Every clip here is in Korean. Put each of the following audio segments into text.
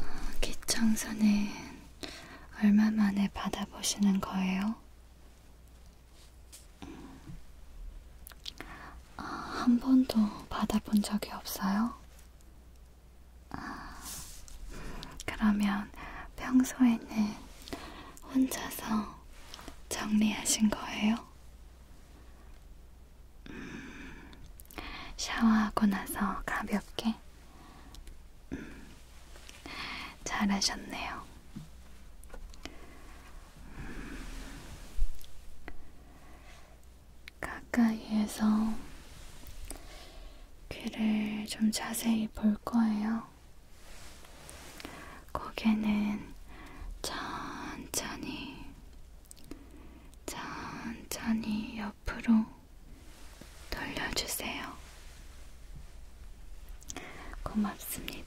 아, 기청소는 얼마 만에 받아보시는 거예요? 아, 한 번도 받아본 적이 없어요? 아, 그러면 평소에는 혼자서 정리하신 거예요? 음, 샤워하고 나서 가볍게? 음, 잘하셨네요. 음, 가까이에서 귀를 좀 자세히 볼 거예요. 고개는 천천히, 천천히 옆으로 돌려주세요. 고맙습니다.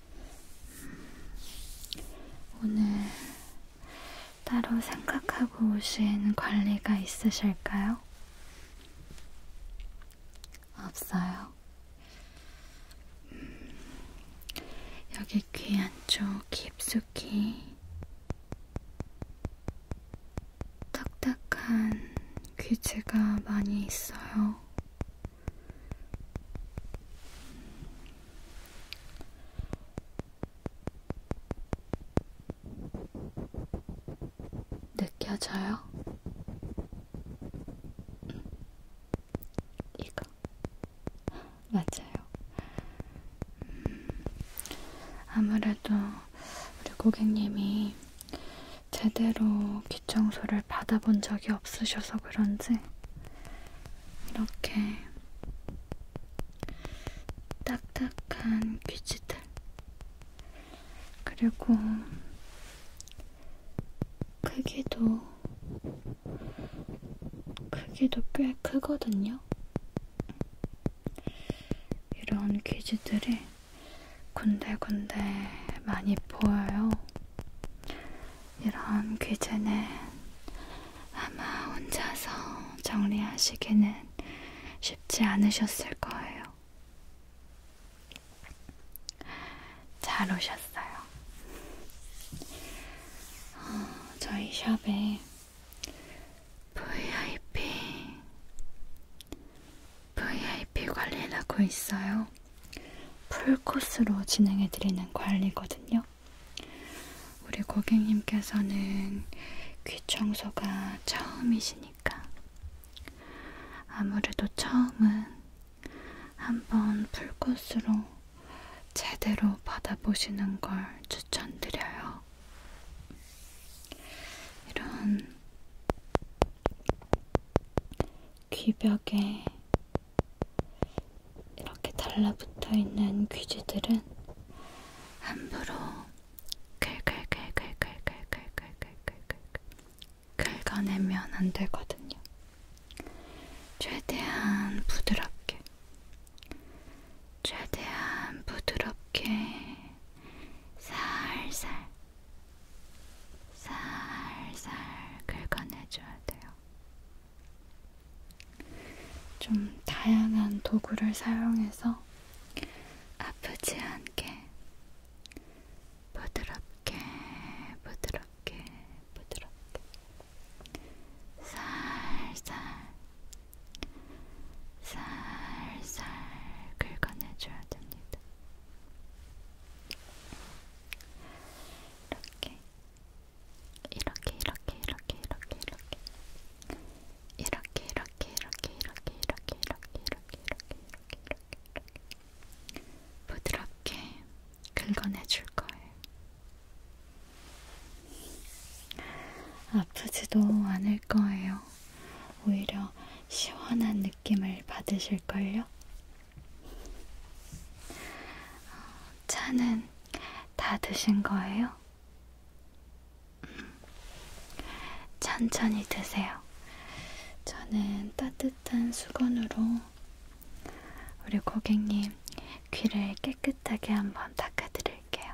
오늘 따로 생각하고 오신 관리가 있으실까요? 없어요. 음, 여기 귀 안쪽 깊숙이 딱딱한 귀지가 많이 있어요. 느껴져요? 음. 이거 맞아요. 음. 아무래도 우리 고객님이 제대로 귀청소를 받아본 적이 없으셔서 그런지 이렇게 딱딱한 귀지들 그리고 크기도 크기도 꽤 크거든요. 이런 귀지들이 군데군데 많이 보여요. 이런 귀재는 아마 혼자서 정리하시기는 쉽지 않으셨을 거예요. 잘 오셨어요. 어, 저희 샵에 VIP, VIP 관리를 하고 있어요. 풀코스로 진행해드리는 관리거든요. 우리 고객님께서는 귀 청소가 처음이시니까 아무래도 처음은 한번 풀코스로 제대로 받아보시는 걸 추천드려요. 이런 귀벽에 이렇게 달라붙어 있는 귀지들은 함부로 긁긁긁긁긁긁긁긁긁긁 긁어내면 안 되거든요. 최대한 부드럽게, 최대한 부드럽게 살살 살살 긁어내줘야 돼요. 좀 다양한 도구를 사용해서 아프지 않게 부드럽게, 부드럽게, 부드럽게 살살, 살살 긁어내줘야 됩니다. 이렇게 이렇게 이렇게 이렇게 이렇게 이렇게 이렇게 이렇게 이렇게 이렇게 이렇게 이렇게 이렇게 이렇게 이렇게 이렇게 부드럽게 긁어내줄 거예요. 아프지도 않을 거예요. 오히려 시원한 느낌을 받으실걸요? 차는 다 드신 거예요? 음. 천천히 드세요. 저는 따뜻한 수건으로 우리 고객님 귀를 깨끗하게 한번 닦아드릴게요.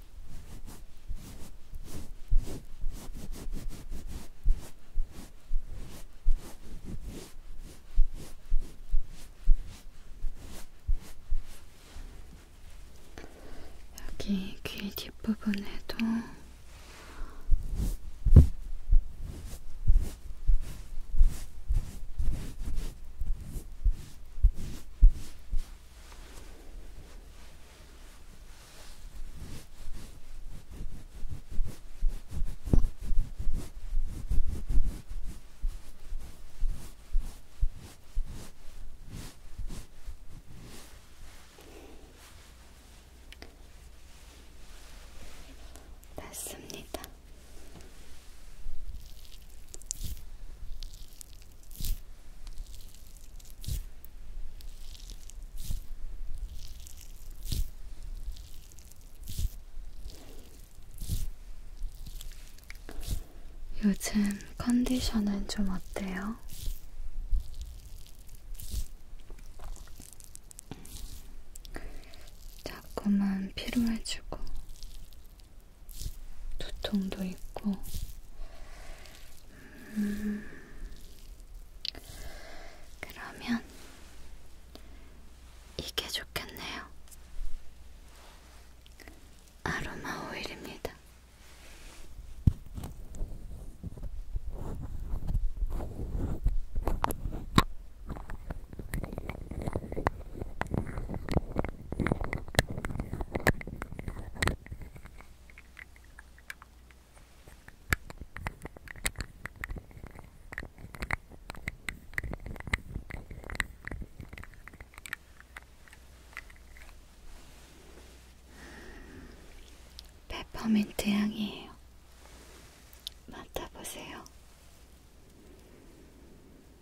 여기 귀 뒷부분에도 맞습니다. 요즘 컨디션은 좀 어때요? 자꾸만 피로해지고 두통도 있고, 음, 그러면 이게 좋겠네요. 아로마 오일입니다. 페퍼민트 향이에요. 맡아보세요.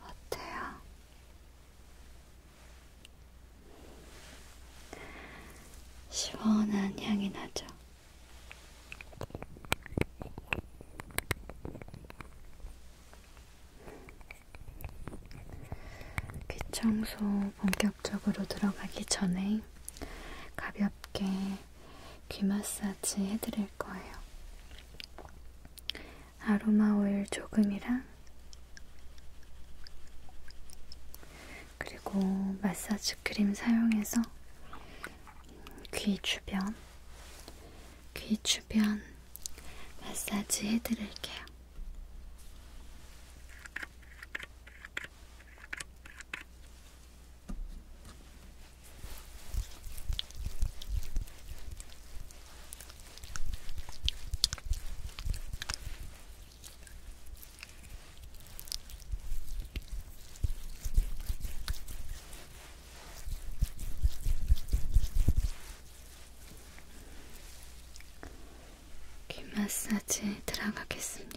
어때요? 시원한 향이 나죠? 귀 청소 본격적으로 들어가기 전에 가볍게 귀 마사지 해드릴 거예요. 아로마 오일 조금이랑 그리고 마사지 크림 사용해서 귀 주변, 귀 주변 마사지 해드릴게요. 귀 마사지 들어가겠습니다.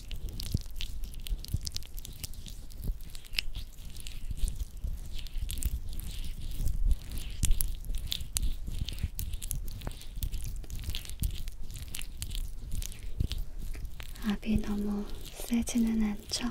압이 너무 세지는 않죠?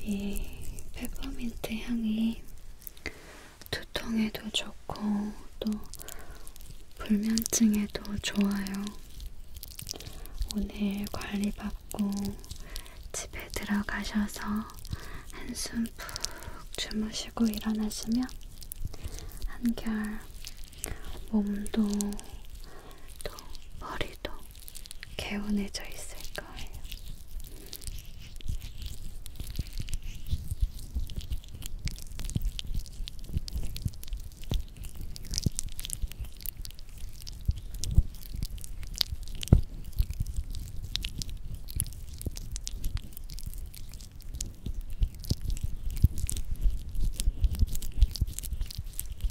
이 페퍼민트 향이 두통에도 좋고 또 불면증에도 좋아요. 오늘 관리받고 집에 들어가셔서 한숨 푹 주무시고 일어나시면 한결 몸도 또 머리도 개운해져 있을 거예요.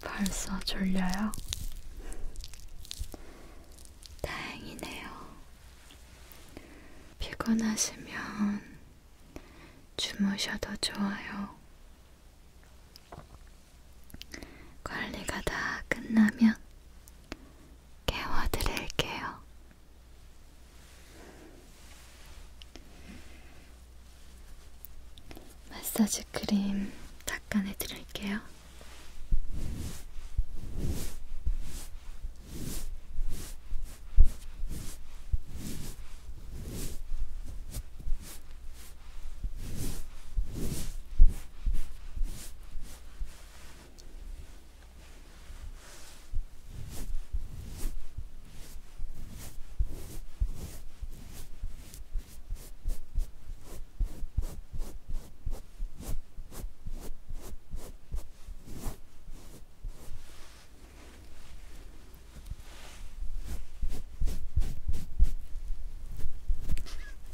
벌써 졸려요? 다행이네요. 피곤하시면 주무셔도 좋아요. 관리가 다 끝나면 깨워드릴게요. 마사지 크림 닦아내드릴게요.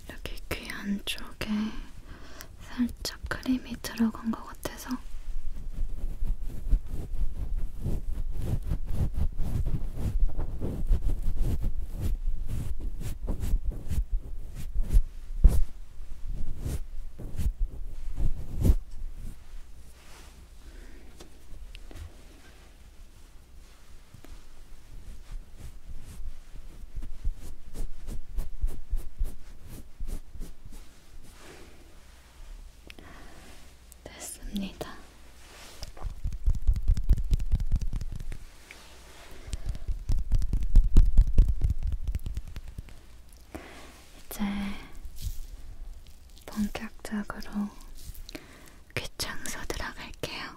이렇게 귀 안쪽에 살짝 크림이 들어간 것 같아서 됐습니다. 이제 본격적으로 귀청소 들어갈게요.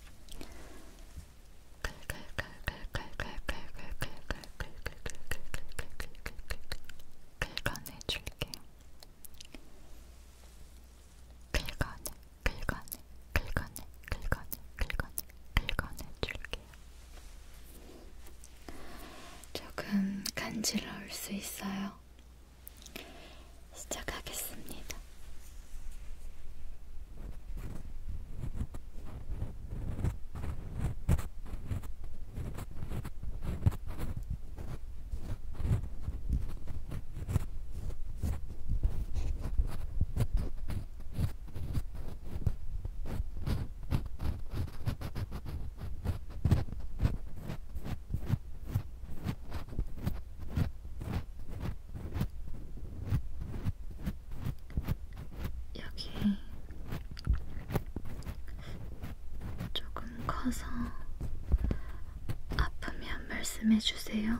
긁어내줄게요. 긁어내, 긁어내, 긁어내, 긁어내, 긁어내, 긁어내줄게요. 조금 간지러울 수 있어요. 시작하겠습니다. 여기 조금 커서 아프면 말씀해 주세요.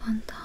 한번 더.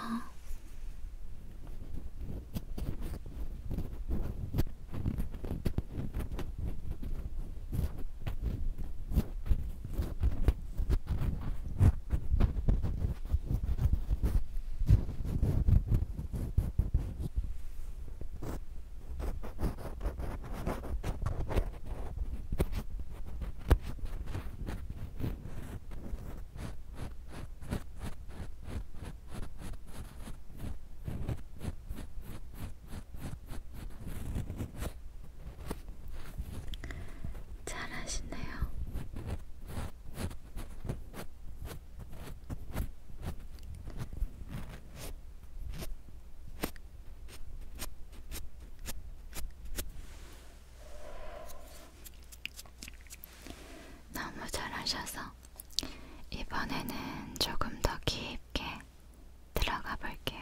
잘하시네요. 너무 잘하셔서 이번에는 조금 더 깊게 들어가 볼게요.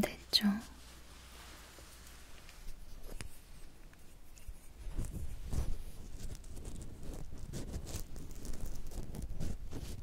반대쪽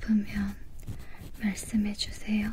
아프면 말씀해 주세요.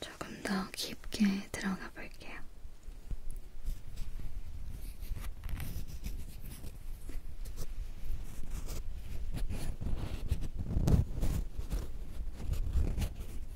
조금 더 깊게 들어가 볼게요.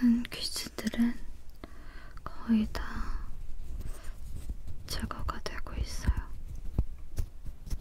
큰 퀴즈들은 거의 다 제거가 되고 있어요.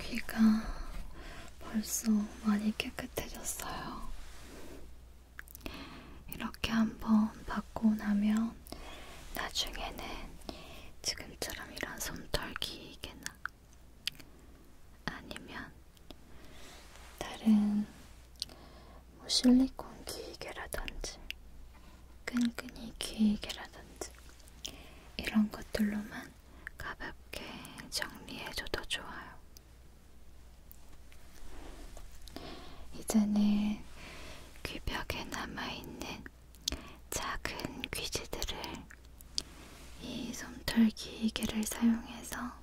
귀가 벌써 많이 깨끗해졌어요. 이렇게 한번 받고 나면 나중에는 지금처럼 이런 손털기개나 아니면 다른 뭐 실리콘 귀이개라든지 끈끈이 귀이개라든지 이런 것들로만 가볍게 정리해줘도 좋아요. 이제는 귀벽에 남아있는 작은 귀지들을 이 솜털 기계를 사용해서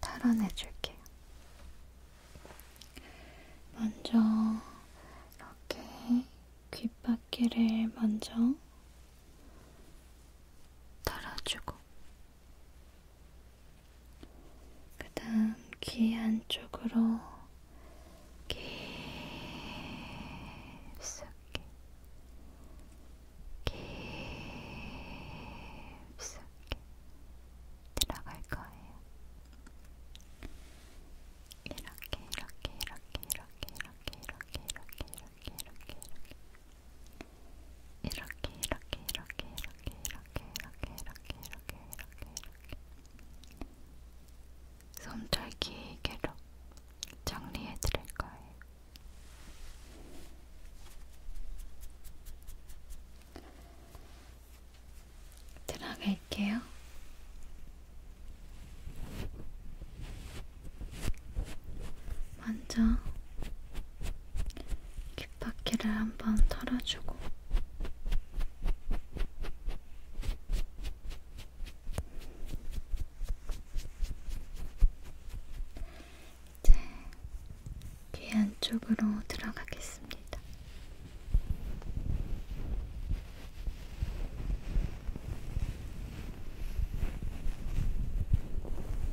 탈환해줄게요. 먼저 이렇게 귓바퀴를 먼저 달아주고 그 다음 귀 안쪽으로 깊숙이 깊숙이 들어갈 거예요. 이렇게 이렇게 이렇게 이렇게 이렇게 이렇게 이렇게 이렇게 이렇게 이렇게 이렇게 이렇게 이렇게 이렇게 이렇게 이렇게 이렇게 이렇게 이렇게 이렇게 솜털 기계로 정리해 드릴 거예요. 들어갈게요. 먼저 귓바퀴를 한번 털어주고 이제 귀 안쪽으로 들어가겠습니다.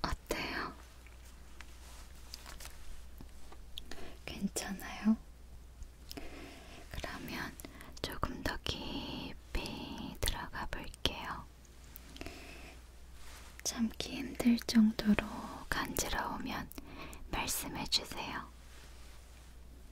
어때요? 괜찮아요? 그러면 조금 더 깊이 들어가 볼게요. 참기 힘들 정도로 간지러우면 말씀해 주세요.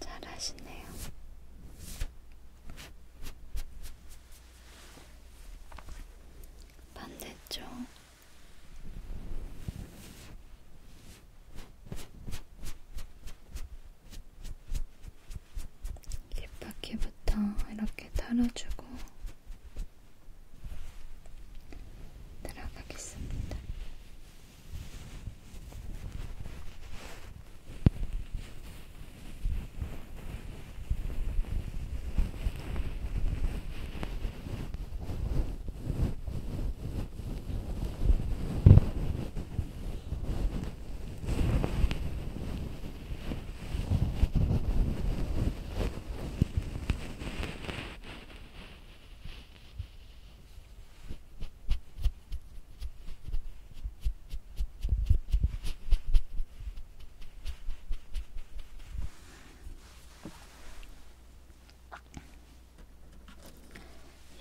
잘하시네요. 반대쪽. 깃바퀴부터 이렇게 달아주고 들어가겠습니다.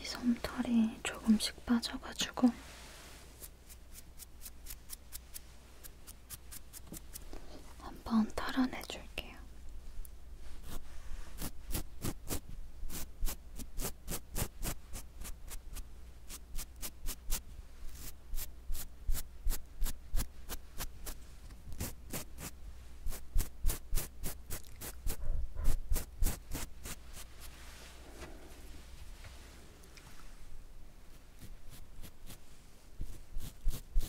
이 솜털이 조금씩 빠져가지고 한번 털어내 줄게요.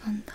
한번 더.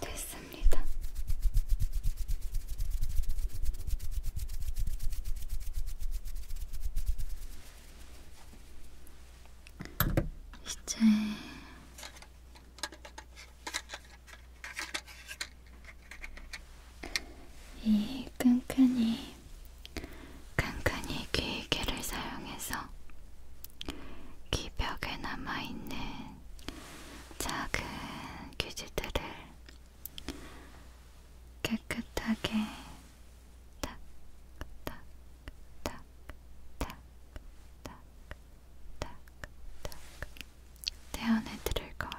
됐습니다. 이제 이 끈끈이 끈끈이 귀기를 사용해서 귀벽에 남아있는 작은 귀지들을 깨끗하게 딱딱 탁, 탁, 탁, 탁, 탁 대안해 드릴 거예요.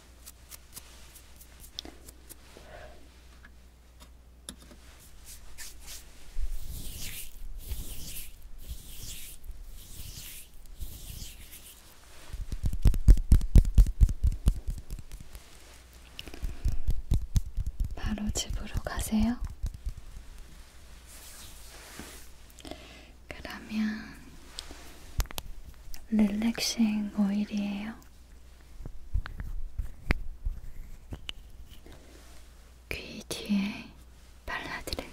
바로 집으로 가세요. 그러면 릴렉싱 오일이에요. 귀 뒤에 발라드릴게요.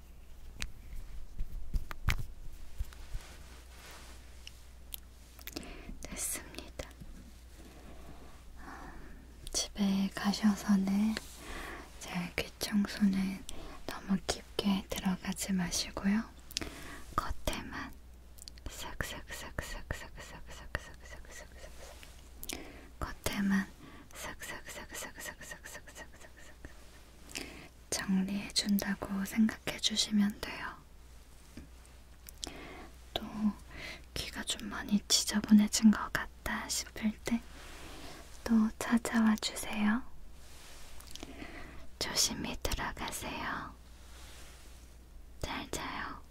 됐습니다. 음, 집에 가셔서는 제 귀청소는 너무 깊게 들어가지 마시고요. 겉에만 싹싹싹싹싹싹싹싹싹싹싹 겉에만 싹싹싹싹싹싹싹싹 정리해준다고 생각해주시면 돼요. 또 귀가 좀 많이 지저분해진 것 같다 싶을 때 또 찾아와 주세요. 조심히 들어가세요. 잘 자요.